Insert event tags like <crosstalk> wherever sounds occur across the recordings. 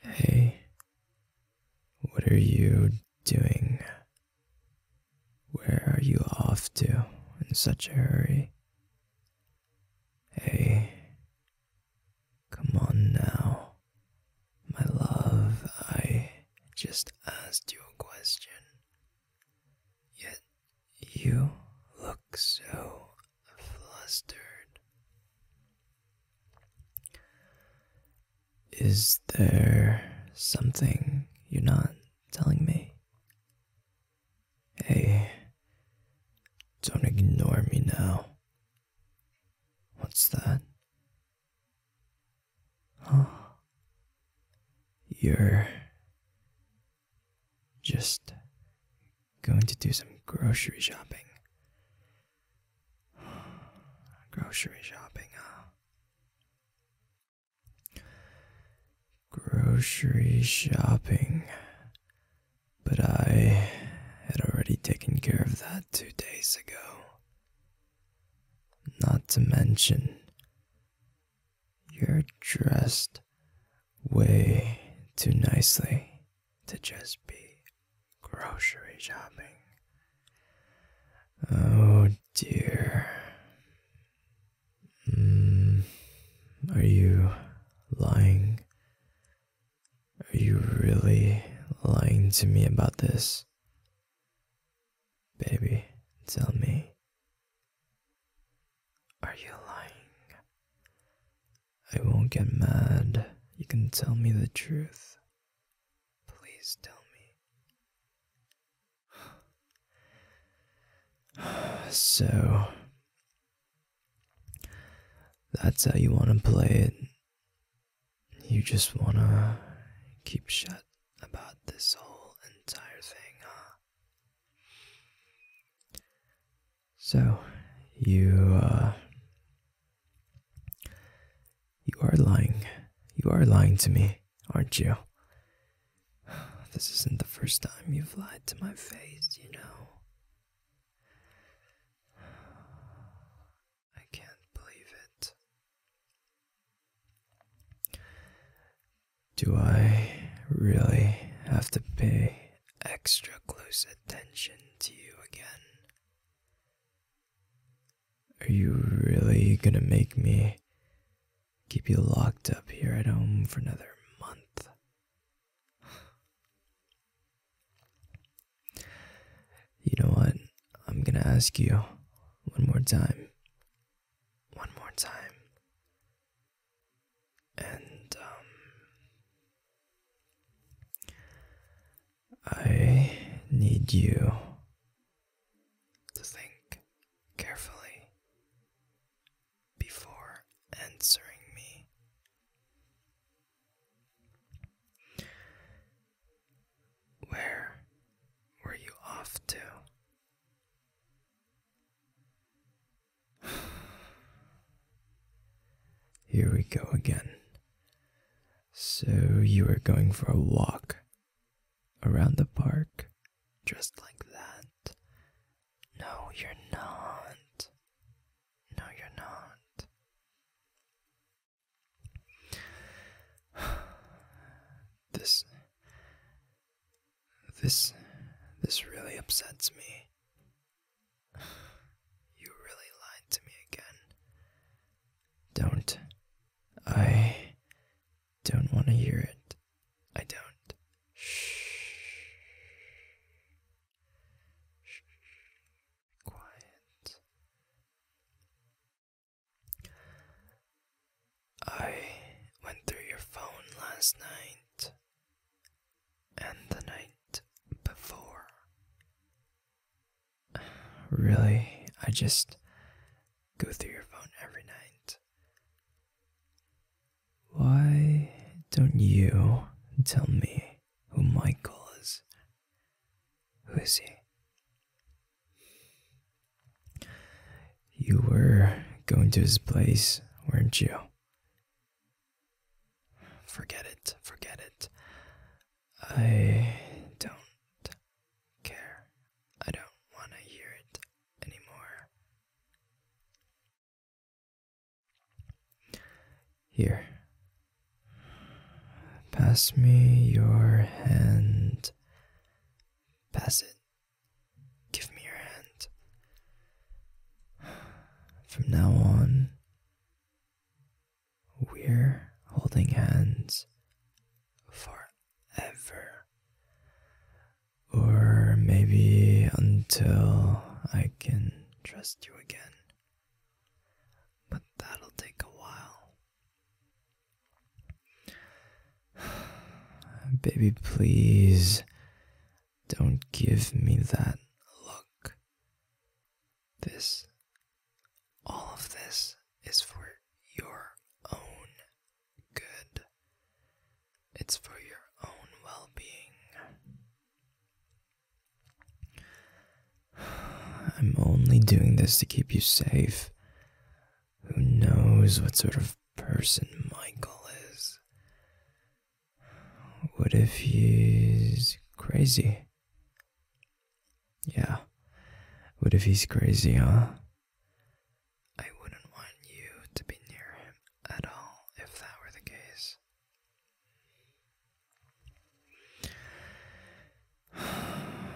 Hey, what are you doing? Where are you off to in such a hurry? Hey, come on now, my love. I just asked you a question, yet you look so flustered. Is there something you're not telling me? Hey, don't ignore me now. What's that? Oh, You're just going to do some grocery shopping. <sighs> grocery shopping, huh? Grocery shopping. But I had already taken care of that two days ago. Not to mention, you're dressed way too nicely to just be grocery shopping. Oh dear. Mm, are you lying? Are you really lying to me about this? Baby, tell me. Are you lying? I won't get mad. You can tell me the truth. Please tell me. <sighs> so, that's how you want to play it. You just want to keep shut about this whole entire thing, huh? So, you uh, you are lying. You are lying to me, aren't you? This isn't the first time you've lied to my face, you know. I can't believe it. Do I really have to pay extra close attention to you again? Are you really gonna make me keep you locked up here at home for another month? You know what? I'm gonna ask you one more time. One more time and um, I need you to think carefully before answering me. Where were you off to <sighs> Here we go again. So, you are going for a walk around the park just like that? No, you're not. No, you're not. <sighs> This this. this really upsets me. You really lied to me again. Don't. I. don't want to hear it. I don't. Shh. Shh. Quiet. I went through your phone last night and the night before. <sighs> Really, I just go through your phone every night. Why don't you tell me who Michael is? Who is he? You were going to his place, weren't you? Forget it, forget it. I don't care. I don't want to hear it anymore. Here. Pass me your hand. Pass it. Give me your hand. From now on, we're holding hands forever. Or maybe until I can trust you again. But that'll take a while. <sighs> Baby, please don't give me that look. This, all of this is for your own good, it's for your own well being. I'm only doing this to keep you safe. Who knows what sort of person Michael is? What if he's crazy? Yeah. What if he's crazy, huh? I wouldn't want you to be near him at all if that were the case.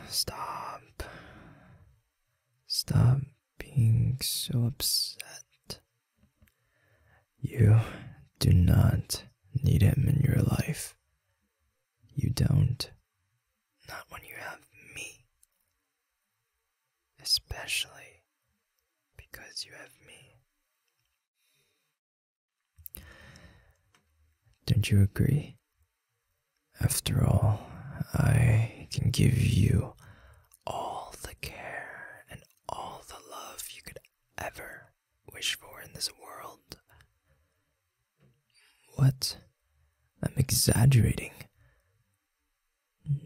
Stop. Stop being so upset. You do not need him in your life. You don't. Not when you have me. Especially because you have me. Don't you agree? After all, I can give you all the care and all the love you could ever wish for in this world. What? I'm exaggerating.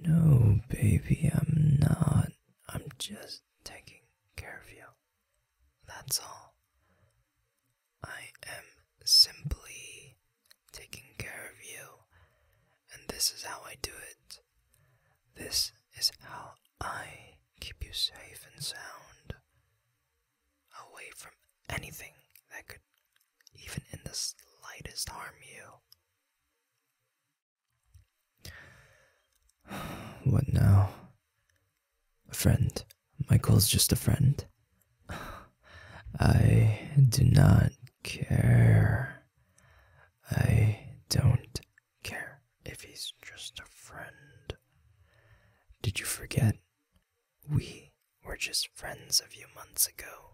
No, baby, I'm not. I'm just taking care of you. That's all. I am simply taking care of you, and this is how I do it. This is how I keep you safe and sound away from anything that could even in the slightest harm you. <sighs> What now? A friend. Michael's just a friend. I do not care. I don't care if he's just a friend. Did you forget? We were just friends a few months ago.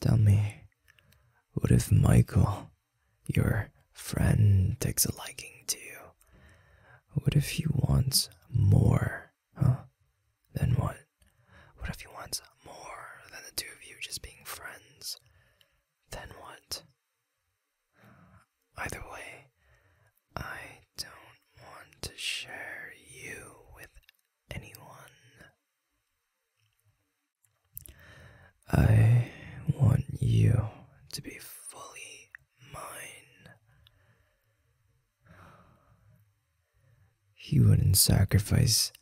Tell me, what if Michael, your friend, takes a liking to you? What if he wants more, huh? Then what? What if he wants more than the two of you just being friends? Then what? Either way, I don't want to share you with anyone. I want you to be fully mine. He wouldn't sacrifice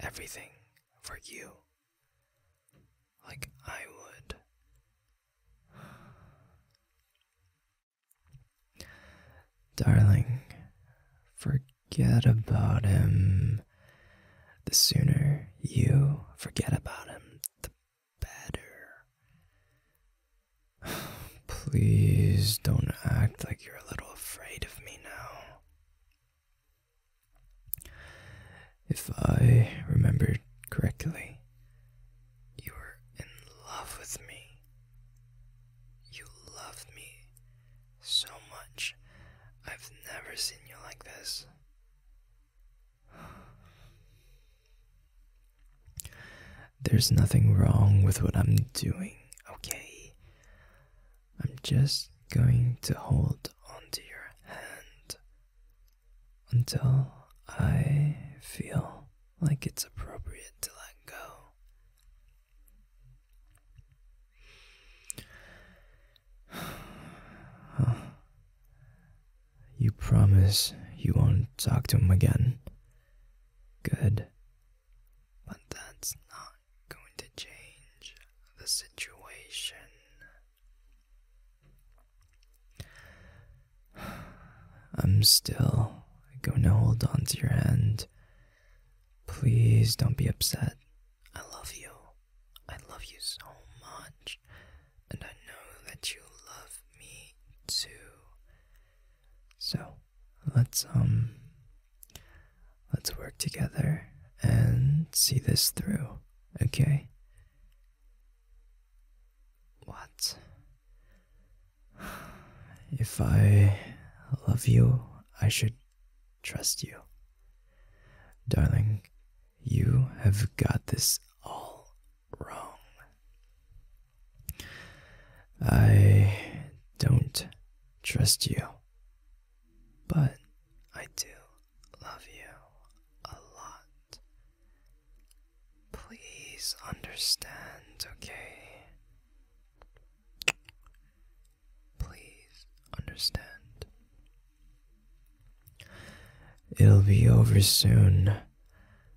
everything for you like I would. Darling, forget about him. The sooner you forget about him, the better. <sighs> Please don't act like you're a little afraid of me now. If I remember correctly, you are in love with me. You love me so much. I've never seen you like this. <sighs> There's nothing wrong with what I'm doing, okay? I'm just going to hold onto your hand until I feel like it's appropriate to let go. <sighs> You promise you won't talk to him again. Good. But that's not going to change the situation. I'm still going to hold on to your hand. Please don't be upset. I love you. I love you so much. And I know that you love me too. So, let's um let's work together and see this through, okay? What? If I love you, I should trust you. Darling, you have got this all wrong. I don't trust you, but I do love you a lot. Please understand, okay? Please understand. It'll be over soon.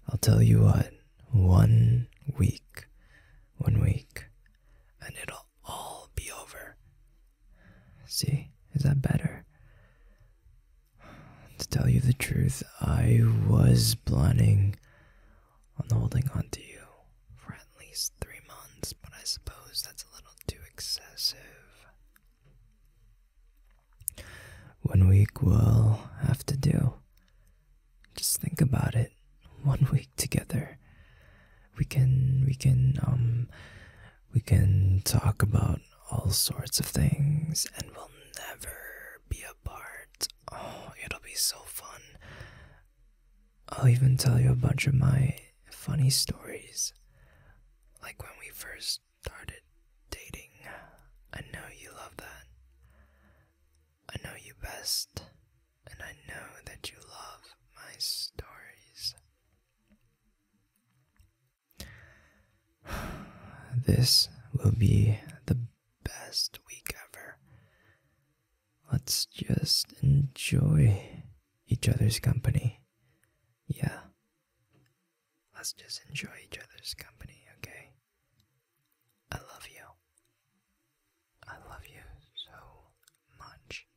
I'll tell you what, one week, one week, and it'll all be over. See, is that better? To tell you the truth, I was planning on holding on to you for at least three months, but I suppose that's a little too excessive. One week will have to do. Just think about it. <laughs> One week together. We can we can um we can talk about all sorts of things and we'll never be apart. Oh, it'll be so fun. I'll even tell you a bunch of my funny stories. Like when we first started dating. I know you love that. I know you best, and I know that you love my stories. <sighs> This will be the best week ever. Let's just enjoy each other's company. Yeah. Let's just enjoy each other's company, okay? I love you. I love you so much.